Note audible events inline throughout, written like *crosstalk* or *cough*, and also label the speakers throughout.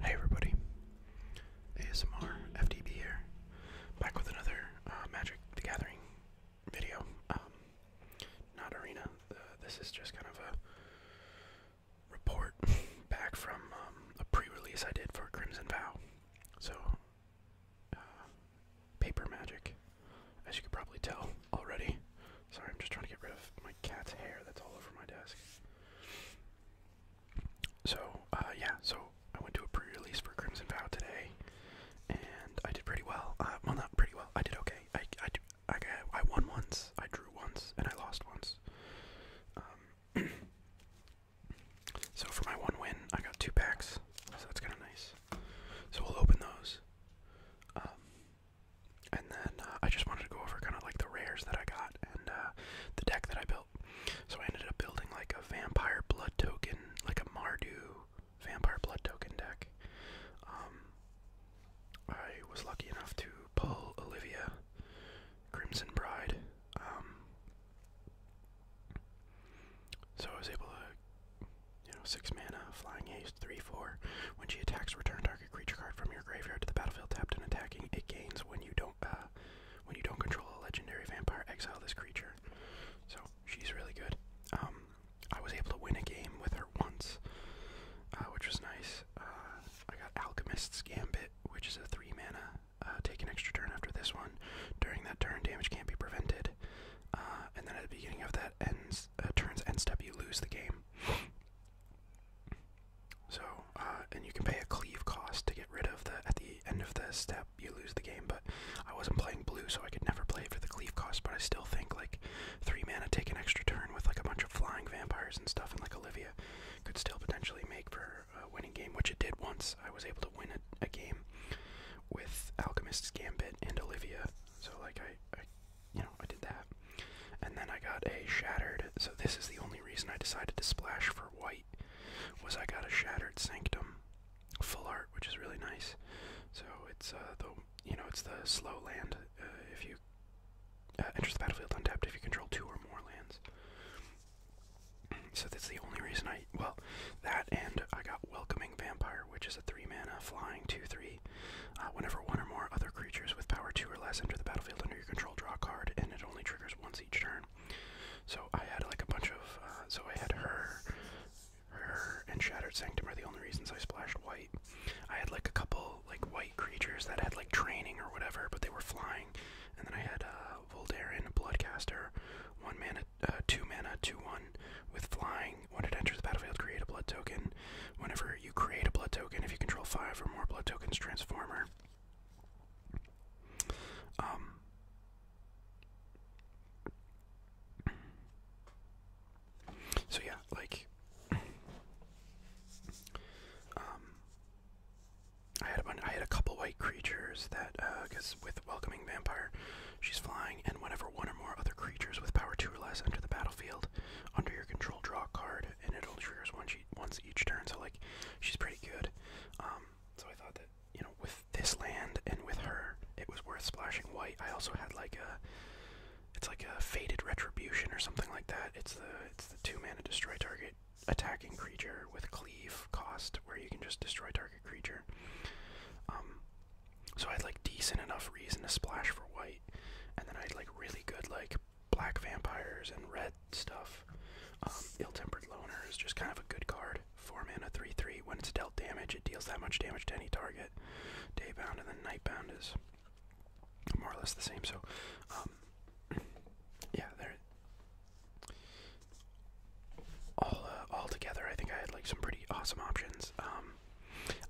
Speaker 1: Hey everybody, ASMR FDB here, back with another uh, Magic the Gathering video. Um, not arena. Uh, this is just kind of a report *laughs* back from um, a pre-release I did for Crimson Vow. So, uh, paper magic as you could probably tell already. Sorry, I'm just trying to get rid of my cat's hair that's all over my desk. So, uh, yeah, so I went to a pre release for Crimson Vow today, and I did pretty well. Uh, well, not pretty well, I did okay. I, I, I, I won once, I drew once, and I lost once. Um, *clears throat* so, for my one win, I got two packs, so that's kind of nice. So, we'll open those. Um, and then uh, I just wanted to go over kind of like the rares that I got and uh, the deck that I built. So I ended up building like a vampire blood token, like a Mardu vampire blood token deck. Um, I was lucky enough to pull Olivia, Crimson Bride. Um, so I was able to, you know, six mana, flying haste three, four. When she attacks, return target creature card from your graveyard to the battlefield tapped and attacking. It gains when you don't uh, when you don't control a legendary vampire. Exile this creature. So she's really good. Um, I was able to win a game with her once, uh, which was nice. Uh, I got Alchemist's Gambit, which is a three mana. Uh, take an extra turn after this one. During that turn, damage can't be prevented. Uh, and then at the beginning of that ends, uh, turns end step, you lose the game. So, uh, and you can pay a cleave cost to get rid of the, at the end of the step, you lose the game, but I wasn't playing blue, so I could never play for the cleave cost, but I still think, like, three mana take an extra turn with, like, a bunch of flying vampires and stuff, and, like, Olivia could still potentially make for a winning game, which it did once. I was able to win a, game with Alchemist's Gambit and Olivia, so, like, I you know, I did that. And then I got a shattered, so this is the only reason I decided to splash for white, was I got a shattered sanctum, full art, which is really nice. So it's uh, the, you know, it's the slow land. Uh, if you uh, enter the battlefield untapped, if you control two or more lands. So that's the only reason I, well, that and I got Welcoming Vampire, which is 3 mana flying 2 3. Uh, whenever one or more other creatures with power 2 or less enter the battlefield under your control, draw a card, and it only triggers once each turn. So I had like a bunch of. Uh, so I had her, her, and Shattered Sanctum are the only reasons I splashed white. I had like a couple like white creatures that had like training or whatever, but they were flying. And then I had uh, Voldaren Bloodcaster, one mana, uh, two mana, two one with flying, when it enters the battlefield, create a blood token. Whenever you create a blood token, if you control five or more blood tokens, transformer. Um. So yeah, like, um, I had a bunch, I had a couple white creatures that, uh, because with welcoming vampire, she's flying, and whenever one or more other creatures with power two or less enter the battlefield, under your control draw a card, and it will triggers once, each turn. So like, she's pretty good. Um, so I thought that you know with this land and with her, it was worth splashing white. I also had like a, it's like a faded retribution or something like that. It's the it's the two mana destroy target attacking creature with cleave cost, where you can just destroy target creature. Um, so I had like decent enough reason to splash for white, and then I had like really good like black vampires and red stuff. Um, ill-tempered loner is just kind of a good card. Four mana, three three. When it's dealt damage, it deals that much damage to any target. Daybound and then nightbound is more or less the same. So, um, *clears throat* yeah, there. All uh, all together, I think I had like some pretty awesome options. Um,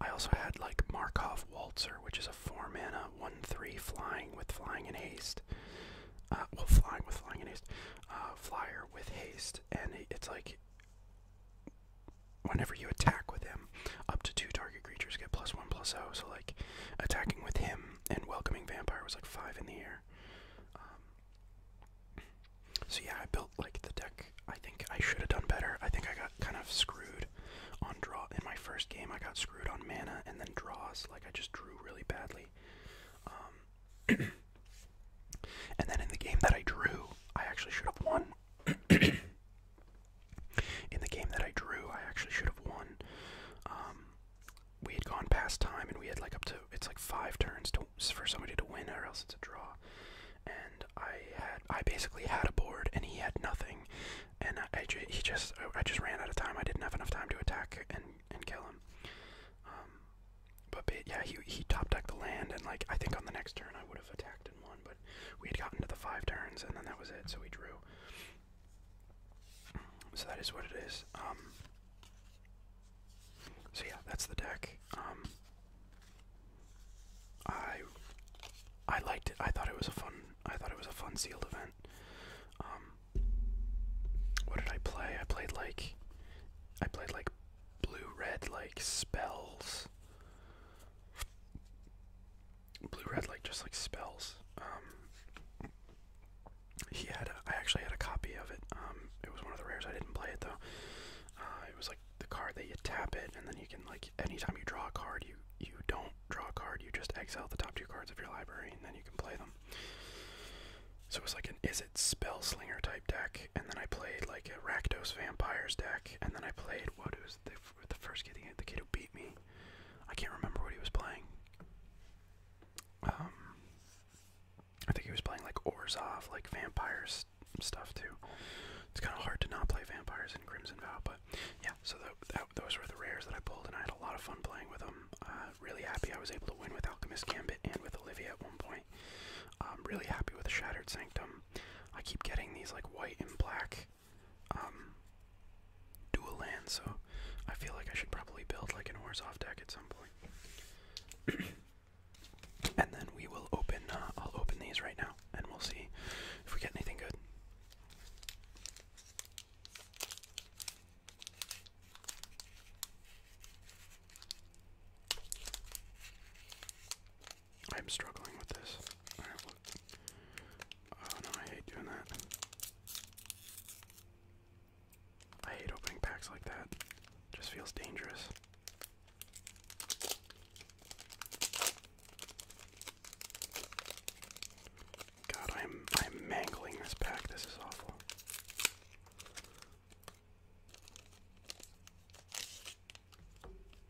Speaker 1: I also had like Markov Waltzer, which is a four mana one three flying with flying and haste. Uh, well, flying with flying and haste, uh, flyer with haste, and it's like whenever you attack with him, up to two target creatures get plus one plus zero. Oh. So like attacking with him and welcoming vampire was like five in the air. Um, so yeah, I built like the deck I think I should have done better. I think I got kind of screwed on draw in my first game. I got screwed on mana and then draws. Like I just drew really badly. Um, *clears throat* and then in the game that I drew, I actually should have won. *clears throat* in the game that I drew, I actually should have won. Um, we had gone past time and we had like up to it's like five turns to, for somebody to win or else it's a draw. I had I basically had a board and he had nothing, and I, he just uh, I just ran out of time. I didn't have enough time to attack and and kill him. Um, but, yeah, he he top decked the land, and like I think on the next turn I would have attacked and won, but we had gotten to the five turns, and then that was it. So we drew. So that is what it is. Um, so yeah, that's the deck. Um, I I liked it. I thought it was a fun. I thought it was a fun sealed event. Um, what did I play? I played like I played like blue red like spells. Blue red like just like spells. Um, he had. I actually had a copy of it. Um, it was one of the rares. I didn't play it though. Uh, it was like the card that you tap it, and then you can like anytime you draw a card, you you don't draw a card, you just exile the top two cards of your library, and then you can play them. So it was like an is it spell slinger type deck, and then I played like a Rakdos Vampires deck, and then I played what was the the first kid the kid who beat me. I can't remember what he was playing. Um, I think he was playing like Orzov, like Vampires stuff too. It's kind of hard to not play Vampires in Crimson Vow, but yeah. So those were the rares that I pulled, and I had a lot of fun playing with them. Uh, really happy I was able to win with Alchemist Gambit and with Olivia at one point. I'm um, really happy with Shattered Sanctum. I keep getting these like white and black um, dual lands, so I feel like I should probably build like an Orzhov deck at some point. *coughs* and then we will open. Uh, I'll open these right now and we'll see if we get anything good. I'm struggling with this. Oh no, I hate doing that. I hate opening packs like that. Just feels dangerous. God, I'm I'm mangling this pack. This is awful.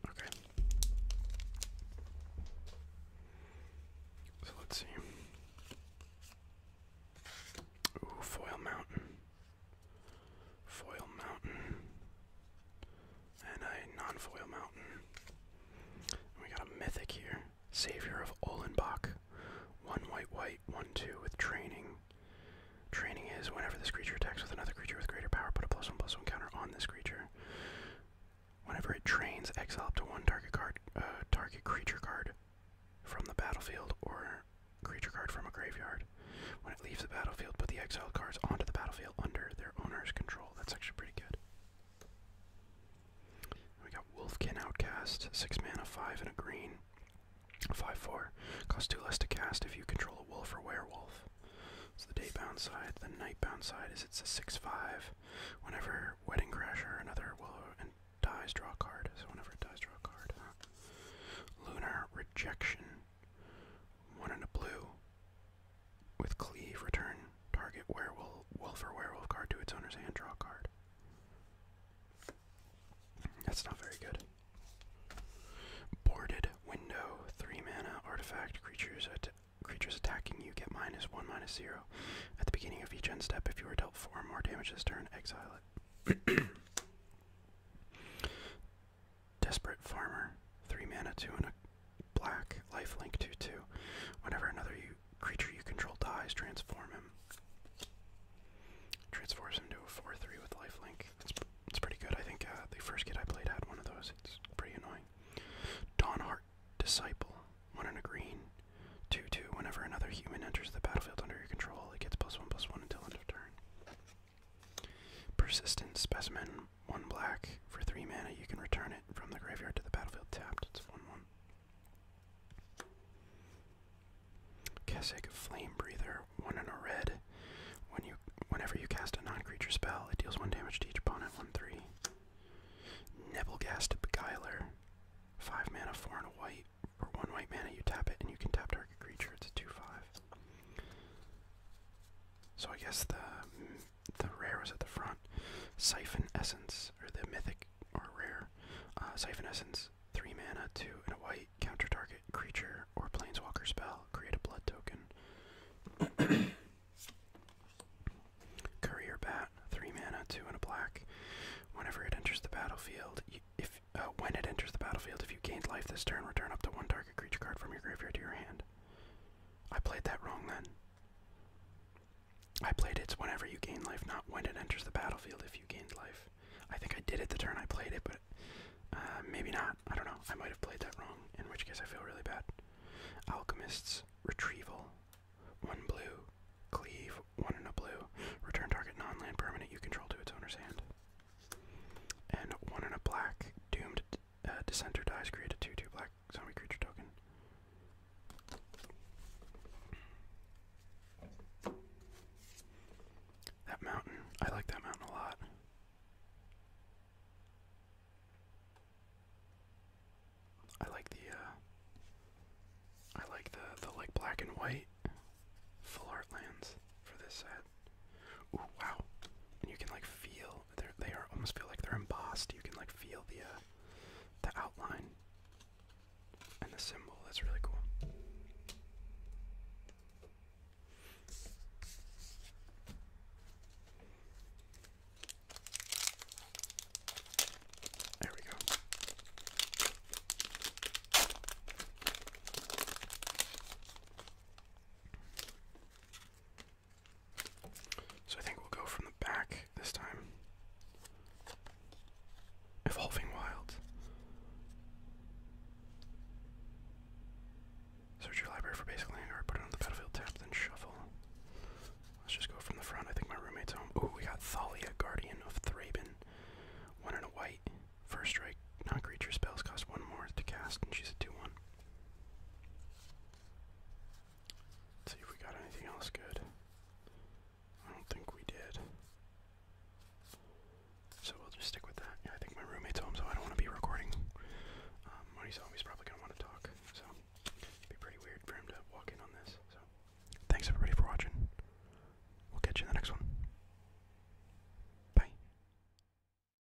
Speaker 1: Okay. So let's see. Ooh, foil mountain. Foil mountain and a non-foil mountain. And we got a mythic here, Savior of Olenbach. One white, white, one two with training. Training is whenever this creature attacks with another creature with greater power, put a plus one plus one counter on this creature. Whenever it trains, exile up to one target card, uh, target creature card from the battlefield or creature card from a graveyard. When leaves the battlefield, put the exiled cards onto the battlefield under their owner's control. That's actually pretty good. We got Wolfkin Outcast, 6 mana, 5 and a green. 5 4. Costs 2 less to cast if you control a wolf or werewolf. So the bound side, the night bound side is it's a 6 5. Whenever Wedding Crasher or another wolf and dies, draw a card. So whenever it dies, draw a card. Lunar Rejection one and a blue. With cleave, return target werewolf, wolf or werewolf card to its owner's hand, draw card. That's not very good. Boarded window, three mana artifact. Creatures creatures attacking you get minus one, minus zero. At the beginning of each end step, if you are dealt four or more damage this turn, exile it. *clears throat* *clears throat* Desperate Farmer, 3 mana, 2 and a black, life link 2 2. Whenever another you, creature you control dies, transform him. Transform him to a 4 3 with lifelink. That's, it's pretty good. I think uh, the first kid I played had one of those. It's pretty annoying. Dawnheart Disciple, 1 and a green, 2 2. Whenever another human enters the battlefield under your control, it gets plus 1 plus 1 until end of turn. Persistent specimen, one black. For three mana, you can return it from the graveyard to the battlefield tapped. It's one one. Kesig Flame Breather, one and a red. When you whenever you cast a non-creature spell, it deals one damage to each opponent, one three. Nebelgast Beguiler. Five mana, four and a white. For one white mana you tap it and you can tap target creature, it's a two five. So I guess the the rare was at the front. Siphon Essence, or the mythic or rare. Uh, Siphon Essence, three mana, two and a white. Counter target creature or Plainswalker spell. Create a blood token. *coughs* Courier Bat, three mana, two and a black. Whenever it enters the battlefield, if uh, when it enters the battlefield, if you gained life this turn, return up to one target creature card from your graveyard to your hand. I played that wrong then. I played it's whenever you gain life, not when it enters the battlefield if you gained life. I think I did it the turn I played it, but uh, maybe not. I don't know. I might have played that wrong, in which case I feel really bad. Alchemist's Retrieval. One blue. Cleave. One in a blue. Return target nonland permanent you control to its owner's hand. And one in a black. Doomed uh, dissenter dies, create a 2 2 black zombie creature token. That mountain, I like that mountain a lot. I like the, uh, I like the, the like black and white full art lands for this set. Uh, wow. you can like feel they are almost feel like they're embossed. You can like feel the uh, the outline and the symbol. That's really cool. There we go. So I think we'll go from the back this time. Evolving Wild. Search your library for basic or put it on the battlefield tap, then shuffle. Let's just go from the front. I think my roommate's home. Ooh, we got Thalia, Guardian of Thraben. One and a white. First strike. Non spells cost one more to cast, and a 2 1 see if we got anything else good. I don't think we did. So we'll just stick with that. Yeah, I think my roommate's home, so I don't want to be recording. Um, home, he's probably going to want to talk. So it'd be pretty weird for him to walk in on this. So thanks everybody for watching. We'll catch you in the next one. Bye.